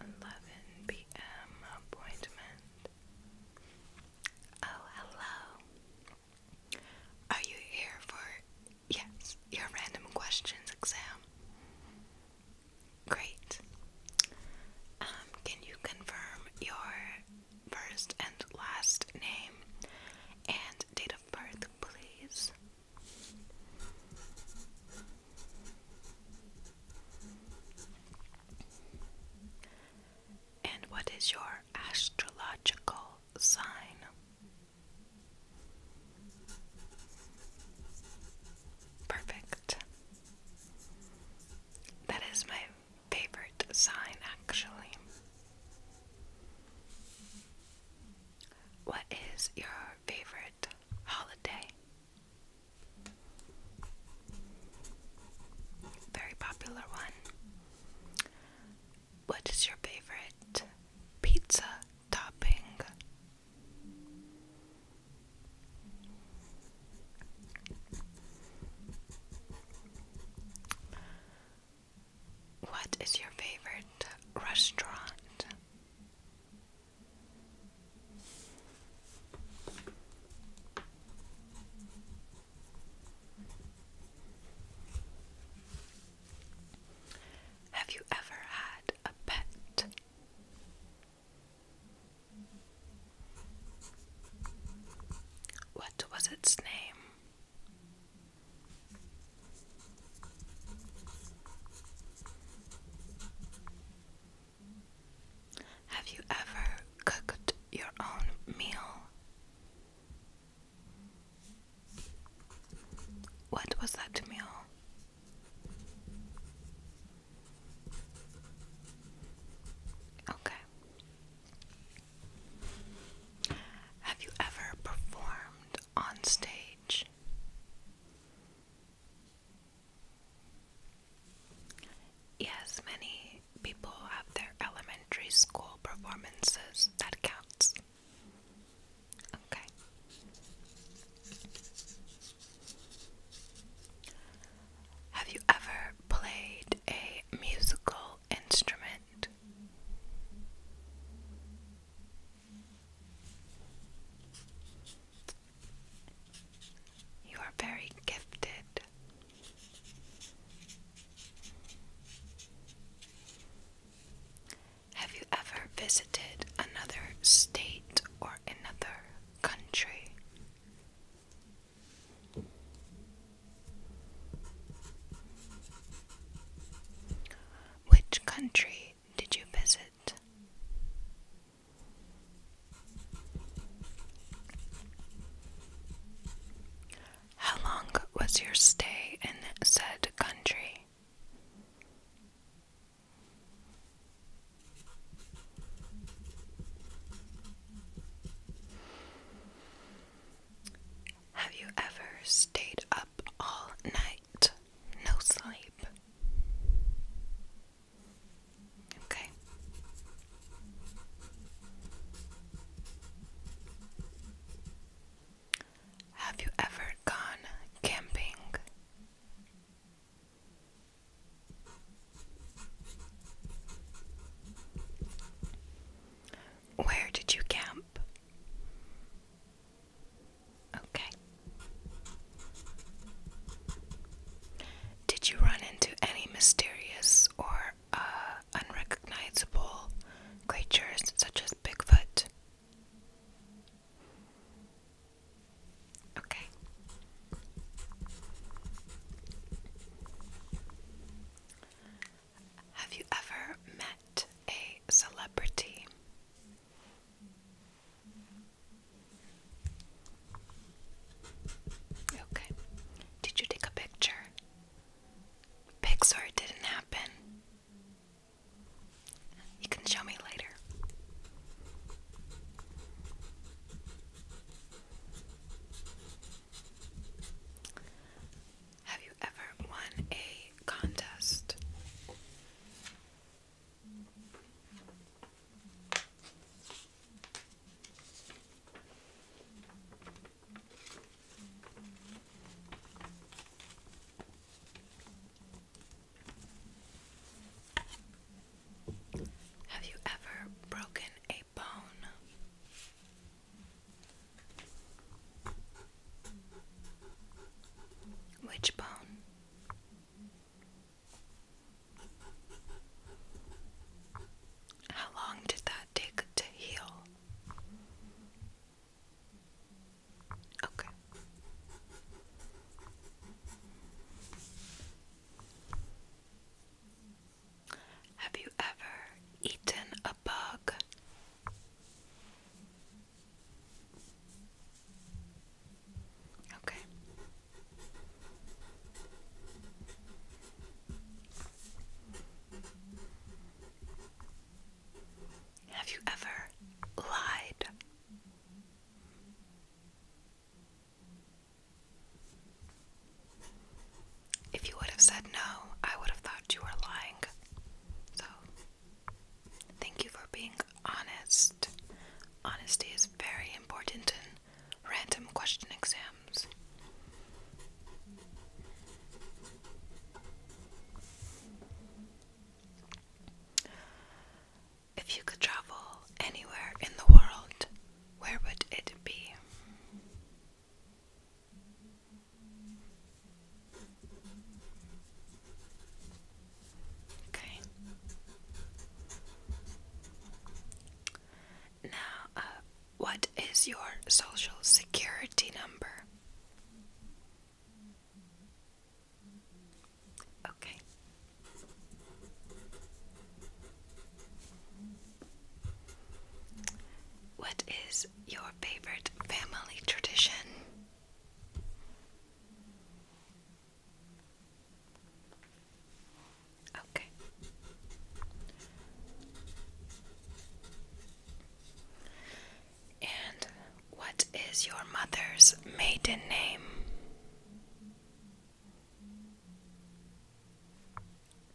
Eleven PM appointment. Oh, hello. Are you here for yes, your random questions exam? Great. Um, can you confirm your first and last name and date of birth, please. And what is your astrological sign? Perfect. That is my favorite sign, actually. What is your favorite holiday? Very popular one. What is your favorite pizza topping? What is your favorite restaurant? Have you ever had a pet? What was its name? Have you ever cooked your own meal? What was that meal? Okay. Have you ever performed on stage? Yes, many people have their elementary school performances. That counts. Okay. Have you ever played a musical instrument. You are very gifted. Have you ever visited another state or another country? Which country did you visit? How long was your stay in said country? Have you ever stayed up all night? No sleep. Okay. Have you ever gone camping? Where did you camp? Okay. Did you run into any mysterious or uh, unrecognizable creatures such as Bigfoot? Okay. Have you ever met a celebrity? Okay. Did you take a picture? Pixar didn't happen. You can show me later. Have you ever won a contest? Have you ever broken a bone? Which bone? How long did that take to heal? Okay. Have you ever eaten a bug? Okay. Have you ever lied? If you would have said no, I would have thought you were lying. So, thank you for being honest. Honesty is very important in random question exams. If you could travel anywhere in the world, where would it be? Okay. Now, uh, what is your social security number? Okay. What is your favorite family tradition? Okay. And what is your mother's maiden name?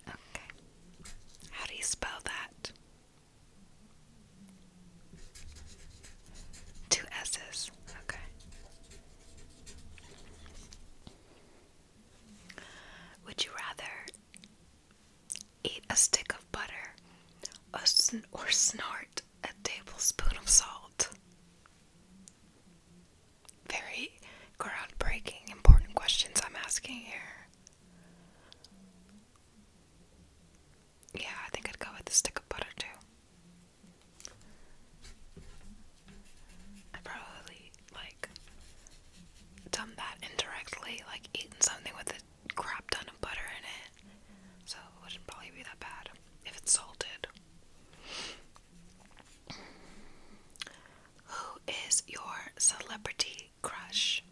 Okay. How do you spell that? Two S's, okay. Would you rather eat a stick of butter or, snort a tablespoon of salt? Very groundbreaking, important questions I'm asking here. Yeah, I think I'd go with the stick of butter too. I probably like done that indirectly, like eaten something with a crap ton of butter in it. So it wouldn't probably be that bad if it's salted. Who is your celebrity crush.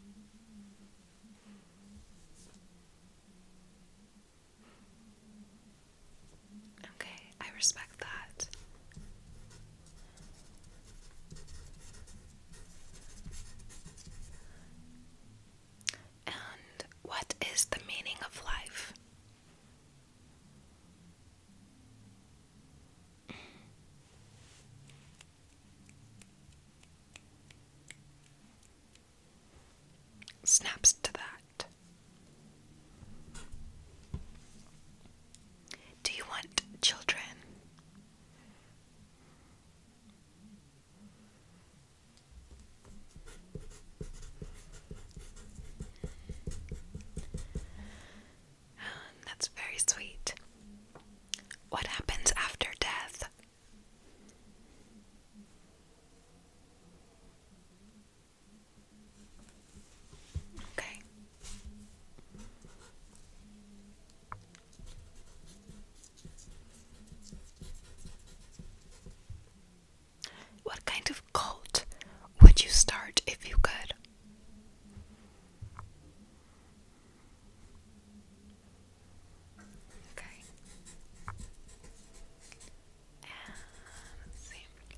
Okay, I respect that. And what is the meaning of life? Snaps to that. Do you want children? that's very sweet. What happens after death? Okay. What kind of cult would you start if you could? Um,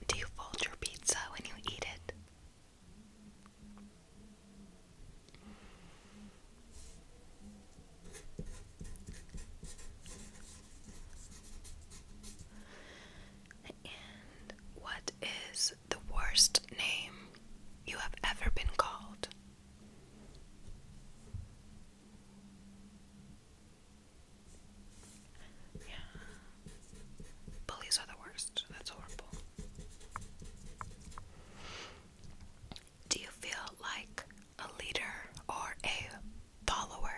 Do you fold your pizza when you eat it? And what is the worst name you have ever been called? Bullies are the worst. That's horrible. Do you feel like a leader or a follower?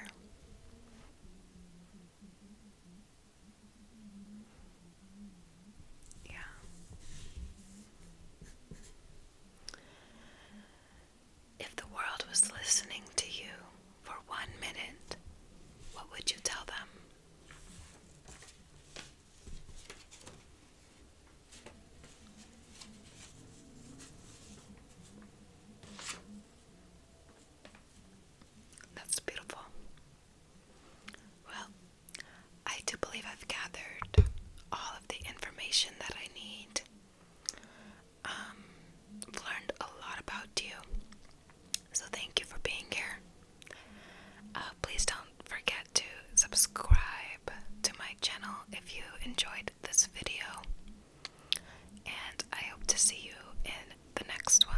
Yeah. If the world was listening to you for one minute, what would you tell them? That's beautiful. Well, I do believe I've gathered all of the information that I need. Um, I've learned a lot about you, so thank you for being here. Uh, please don't forget to subscribe to my channel if you enjoyed this video, and I hope to see you in the next one.